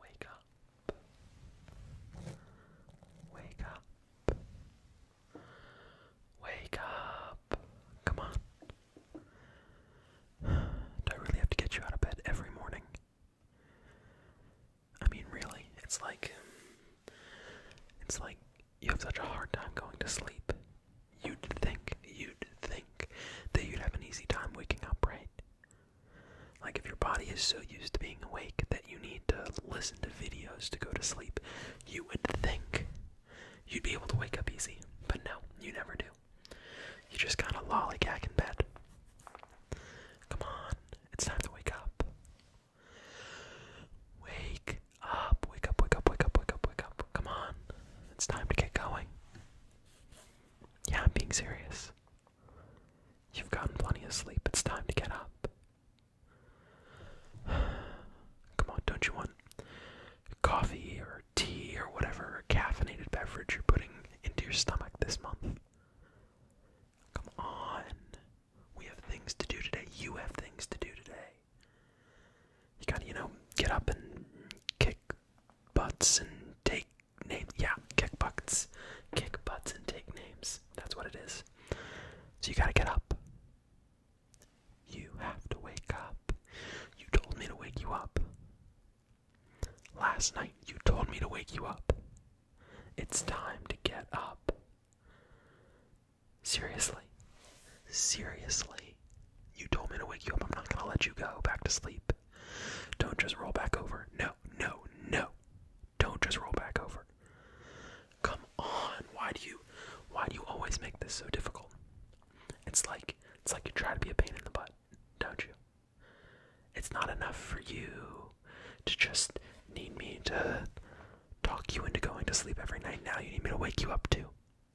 Wake up. Wake up. Wake up. Come on. Do I really have to get you out of bed every morning? I mean, really, it's like. It's like you have such a hard time going to sleep. You'd think, you'd think that you'd have an easy time waking up, right? Like, if your body is so used to being awake that you need to listen to videos to go to sleep, you would think you'd be able to wake up easy. But no, you never do. You just kind of lollygag in bed. Come on, it's time to wake up. Wake up, wake up, wake up, wake up, wake up, wake up. Come on, it's time to get going. Yeah, I'm being serious. You've gotten plenty of sleep. It's time to get up. Come on, don't you want coffee or tea or whatever caffeinated beverage you're putting into your stomach this month? Come on. We have things to do today. You have things to do today. You gotta, you know, get up and kick butts and take names. Yeah, kick butts, kick butts and take names. That's what it is. So you gotta get up. You have to wake up. You told me to wake you up. Last night you told me to wake you up. It's time to get up. Seriously. Seriously. You told me to wake you up. I'm not gonna let you go back to sleep. Don't just roll back over. No, no, no. Don't just roll back over. Come on. Why do you why do you always make this so difficult? It's like it's like you try to be a pain in the butt, don't you? It's not enough for you to just need me to talk you into going to sleep every night. Now you need me to wake you up too.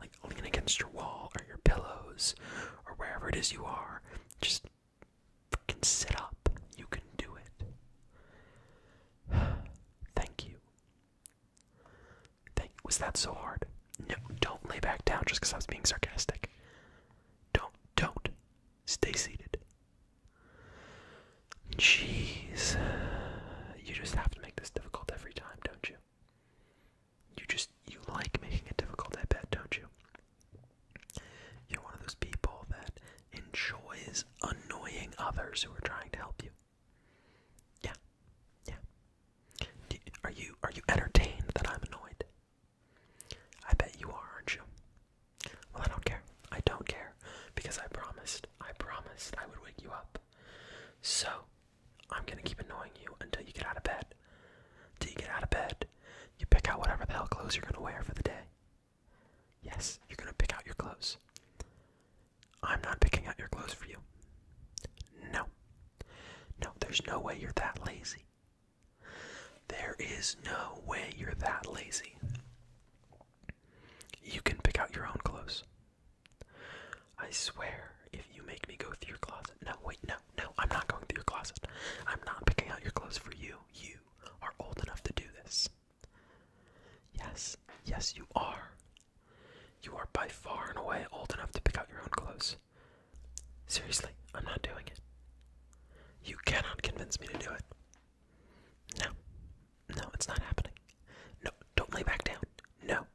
like lean against your wall or your pillows or wherever it is you are. Just fucking sit up. You can do it. Thank you. Thank was that so hard? No, don't lay back down just because I was being sarcastic. Don't, don't. Stay seated. Jeez. You just have to make this difficult every time, don't you? you just you like making it difficult, I bet, don't you? You're one of those people that enjoys annoying others who are trying to help you. Yeah, yeah. are you are you entertained that I'm annoyed? I bet you are, aren't you? Well, I don't care. I don't care because I promised. I promised I would wake you up. So I'm gonna keep annoying you until you get out of bed. Till you get out of bed, you pick out whatever the hell clothes you're gonna wear for the day. Yes, you're gonna pick out your clothes. I'm not picking out your clothes for you. No. No, there's no way you're that lazy. There is no way you're that lazy. You can pick out your own clothes. I swear, if you make me go through your closet. No, wait, no, no, I'm not going through your closet. I'm not picking out your clothes for you. You are old enough to do this. Yes, yes, you are. You are by far and away old enough to pick out your own clothes. Seriously, I'm not doing it. You cannot convince me to do it. No, no, it's not happening. No, don't lay back down. No,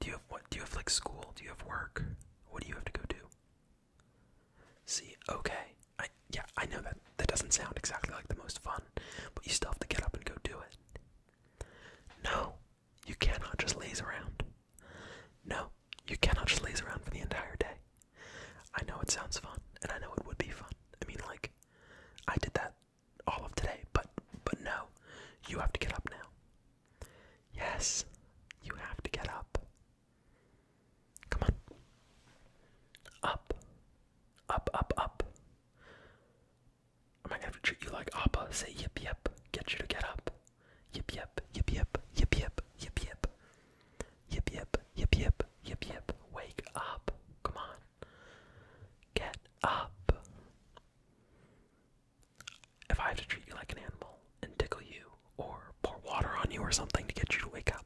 Do you have what? Do you have like school? Do you have work? What do you have to go do? See, okay. I yeah, I know that that doesn't sound exactly like the most fun, but you still have to get up and go do it. No, you cannot just laze around. No, you cannot just laze around for the entire day. I know it sounds fun, and I know it would be fun. I mean, like, I did that all of today, but but no, you have to get up now. Yes, you have to get up. Come on. Up. Up, up, up. Am gonna treat you like Appa? Say yip yip. Get you to get up. yip yip, yip yip, yip yip. Yip yip, yip yip, yip yip. Wake up. Come on. Get up. If I have to treat you like an animal and tickle you or pour water on you or something to get you to wake up.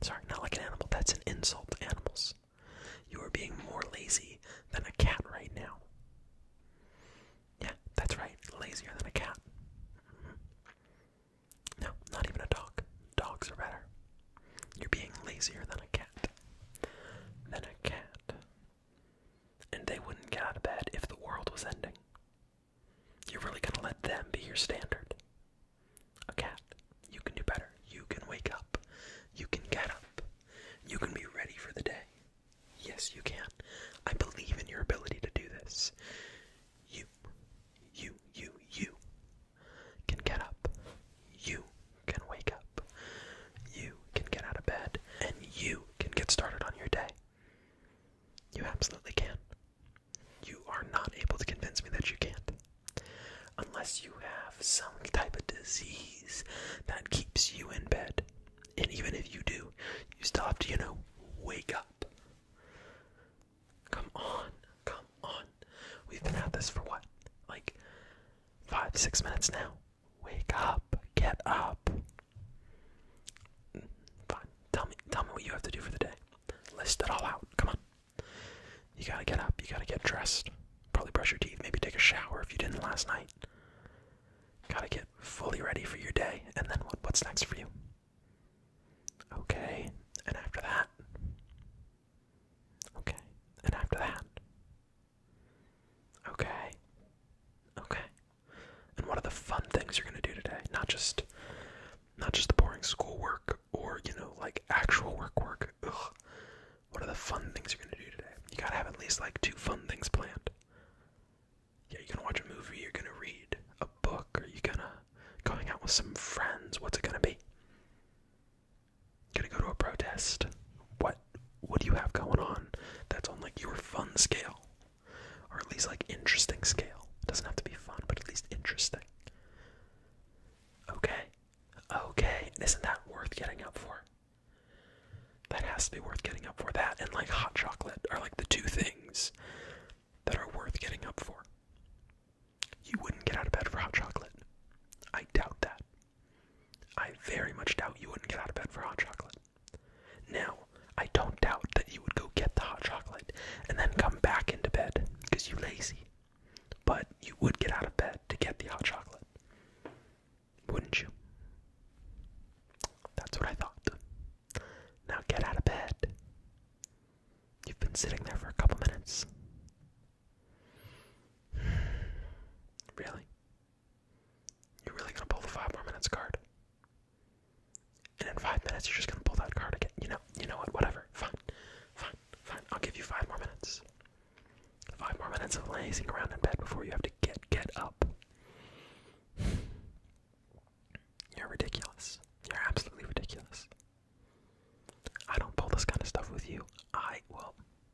Sorry, not like an animal. That's an insult to animals. You are being more lazy than a cat right now. Yeah, that's right. Lazier than a cat. Mm-hmm. No, not even a dog. Dogs are better. You're being lazier than a cat. Than a cat. And they wouldn't get out of bed if the world was ending. You're really gonna let them be your standard. A cat, you can do better. You can wake up. You can get up. You can be ready for the day. Yes, you can. I believe in your ability to do this. You, you, you, you can get up. You can wake up, you can get out of bed, and you can get started on your day. You absolutely can. You are not able to convince me that you can't. Unless you have some type of disease that keeps you in bed. And even if you do, you still have to, you know, wake up. Come on, come on. We've been at this for what? Like five, six minutes now. Wake up. Get up. Fine. Tell me tell me what you have to do for the day. List it all out. Come on. You gotta get up. You gotta get dressed. Probably brush your teeth. Maybe take a shower if you didn't last night. Gotta get fully ready for your day. And then what, what's next for you? Okay. And after that? Okay. And after that? Okay. Okay. And what are the fun things you're going to do today? Not just not just the boring schoolwork or, you know, like actual work work. Ugh. What are the fun things you're going to do today? You got to have at least like two fun things planned. Yeah, you're going to watch a movie, you're going to read a book, or you're going to going out with some friends. What's it going to be? Gonna go to a protest. What what do you have going on that's on like your fun scale? Or at least like interesting scale. doesn't have to be fun, but at least interesting. Okay. Okay. Isn't that worth getting up for? That has to be worth getting up for. That and like hot chocolate are like the two things that are worth getting up for. You wouldn't get out of bed for hot chocolate. I doubt that. I very much doubt you wouldn't get out of bed for hot chocolate. Now, I don't doubt that you would go get the hot chocolate and then come back into bed because you're lazy. But you would get out of bed to get the hot chocolate. Wouldn't you? That's what I thought. Now get out of bed. You've been sitting there for a couple minutes. Really? You're really gonna pull the five more minutes card. And in five minutes, you're just gonna pull that card again. You know, you know what? Whatever. Fine, fine, fine. I'll give you five more minutes. Five more minutes of lazing around in bed before you have to get get up. You're ridiculous. You're absolutely ridiculous. I don't pull this kind of stuff with you. I will.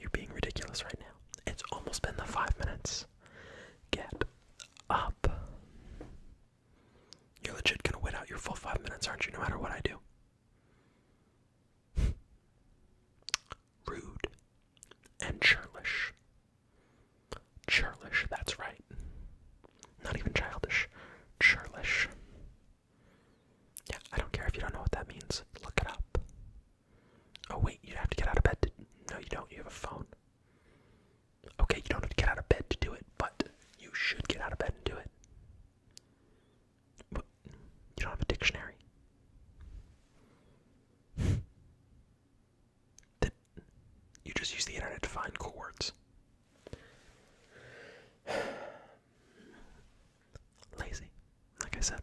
You're being ridiculous right now. It's almost been the five minutes. Get up. You're legit gonna wait out your full five minutes, aren't you? No matter what I do. Rude and churlish. Churlish, that's right. Not even childish. Churlish. Yeah, I don't care if you don't know what that means. Look it up. Oh wait, you have to get out of bed no you don't, you have a phone. Okay, you don't have to get out of bed to do it, but you should get out of bed and do it. you don't have a dictionary. That you just use the internet to find cool words. Lazy, like I said.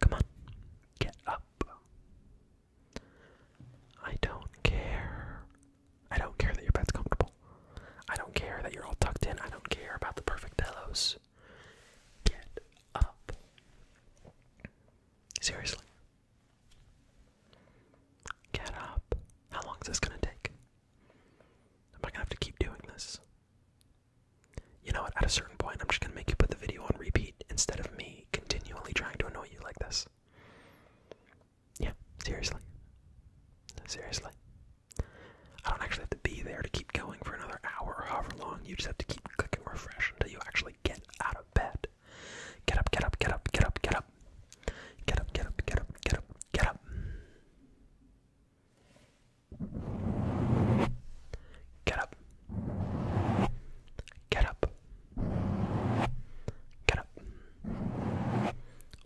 Come on, get up. I don't care. I don't care that your bed's comfortable. I don't care that you're all tucked in. I don't care about the perfect pillows. Get up. Seriously. Get up. How long is this going to take? Am I going to have to keep doing this? You know what? At a certain point, I'm just gonna make you put the video on repeat instead of me continually trying to annoy you like this. Yeah, seriously. Seriously. I don't actually have to be there to keep going for another hour or however long. You just have to keep clicking refresh until you actually get out of bed. Get up, get up, get up, get up, get up. Get up, get up, get up, get up, get up. Get up. Get up. Get up.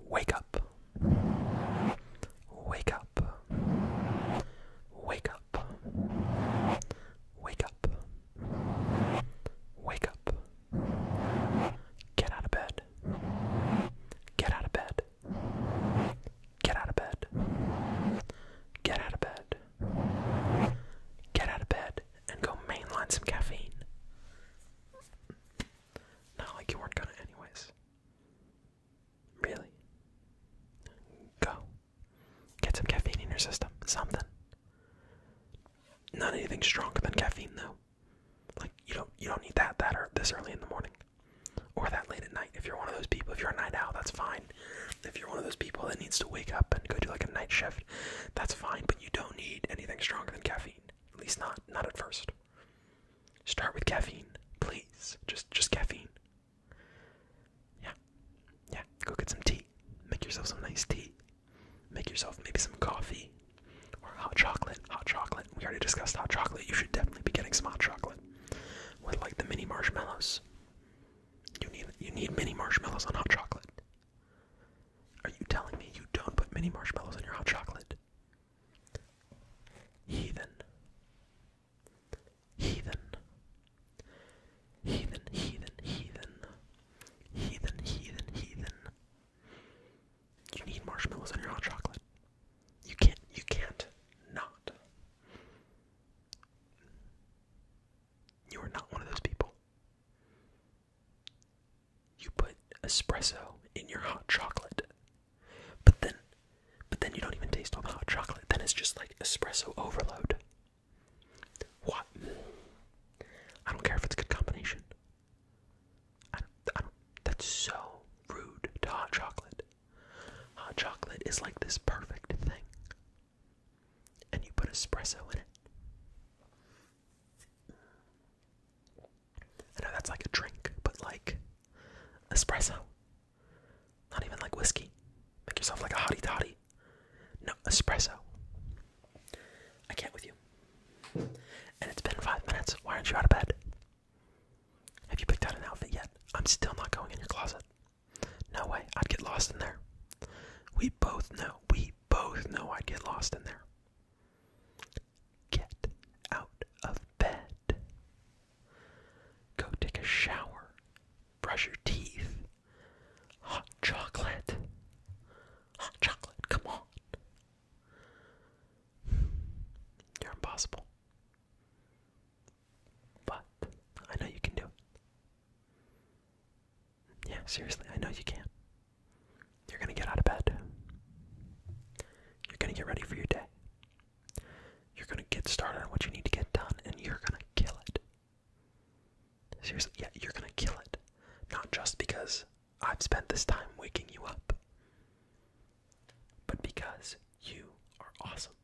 Wake up. Wake up. Wake up. Wake up. Wake up. Get out of bed. Get out of bed. Get out of bed. Get out of bed. Get out of bed and go mainline some caffeine. Not like you weren't gonna, anyways. Really? Go. Get some caffeine in your system. Something. Not anything stronger than caffeine, though. Like you don't you don't need that that or this early in the morning, or that late at night. If you're one of those people, if you're a night owl, that's fine. If you're one of those people that needs to wake up and go do like a night shift, that's fine, but you don't need anything stronger than caffeine. At least not not at first. Start with caffeine, please. Just just caffeine. Yeah. Yeah, go get some tea. Make yourself some nice tea. Make yourself maybe some coffee or hot chocolate. Hot chocolate. We already discussed hot chocolate. You should definitely be getting some hot chocolate with like the mini marshmallows. You need you need mini marshmallows on hot chocolate. Are you telling me you don't put mini marshmallows in your hot chocolate? Heathen. Heathen. Heathen, heathen, heathen. Heathen, heathen, heathen. You need marshmallows in your hot chocolate. You can't you can't not. You are not one of those people. You put espresso in your hot chocolate. But then but then you don't even taste all the hot chocolate. Then it's just like espresso overload. What? I don't care if it's a good combination. I don't, that's so rude to hot chocolate. Hot chocolate is like this perfect thing. And you put espresso in it. I know that's like a drink, but like espresso. Not even like whiskey. Make yourself like a hottie toddy. No, espresso. I can't with you. And it's been five minutes. Why aren't you out of bed? Have you picked out an outfit yet? I'm still not going in your closet. No way, I'd get lost in there. We both know, we both know I'd get lost in there. Get out of bed. Go take a shower. Brush your teeth. Hot chocolate. Hot chocolate, come on. You're impossible. But I know you can do it. Yeah, seriously, I know you can. You're gonna get out of bed. You're gonna get ready for your day. You're gonna get started on what you need to get done, and you're gonna kill it. Seriously, yeah, you're gonna kill it. Not just because I've spent this time waking you up, but because you are awesome.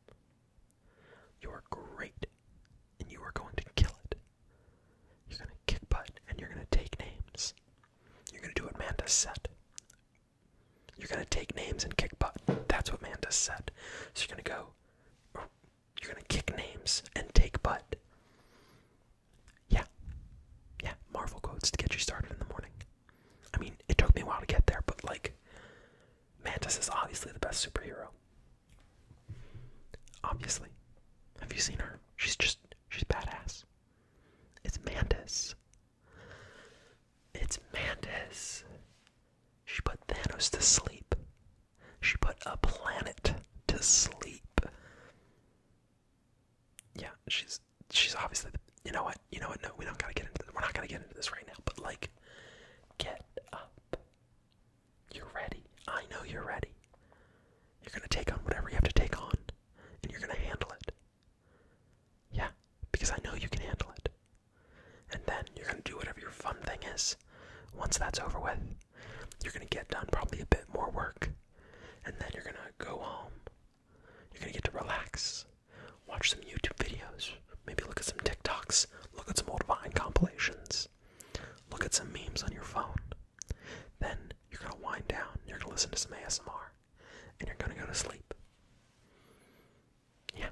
You are great, and you are going to kill it. You're going to kick butt, and you're going to take names. You're going to do what Manta said. You're going to take names and kick butt. That's what Manda said. So you're going to go, oh, you're going to kick names and take butt. Yeah. Yeah, Marvel quotes to get you started in the morning. I mean, it took me a while to get there, but like, Mantis is obviously the best superhero. Obviously. Have you seen her? She's just, she's badass. It's Mantis. It's Mantis. She put Thanos to sleep. She put a planet to sleep. Yeah, she's she's obviously you know what you know what no we don't gotta get into we're not gonna get into this right now. But like, Get up. You're ready. I know you're ready. You're going to take on whatever you have to take on, and you're going to handle it. Yeah, because I know you can handle it. And then you're going to do whatever your fun thing is. Once that's over with, you're going to get done probably a bit more work. And then you're going to go home. You're going to get to relax watch some YouTube videos, maybe look at some TikToks, look at some old Vine compilations, look at some memes on your phone. Then you're gonna wind down, you're gonna listen to some ASMR, and you're gonna go to sleep. Yeah,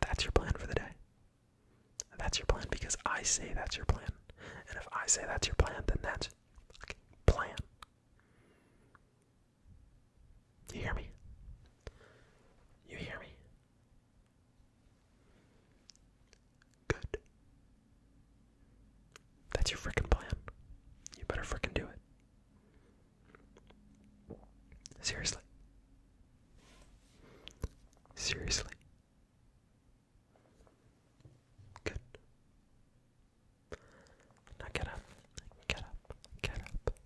that's your plan for the day. That's your plan because I say that's your plan. And if I say that's your plan, then that's plan. You hear me? You hear me? Good. That's your frickin' plan. You better frickin' do it. Seriously. Seriously. Good. Now get up. Get up. Get up.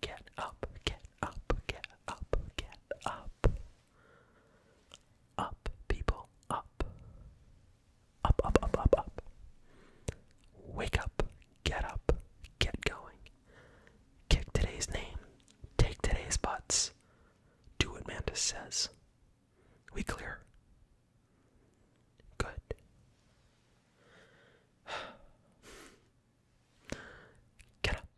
Get up, get up, get up, get up. Up, people, up. Up, up, up, up, Wake up, get up, get going. Kick today's name, take today's butts. Do what Mantis says. We clear. Good. Get up.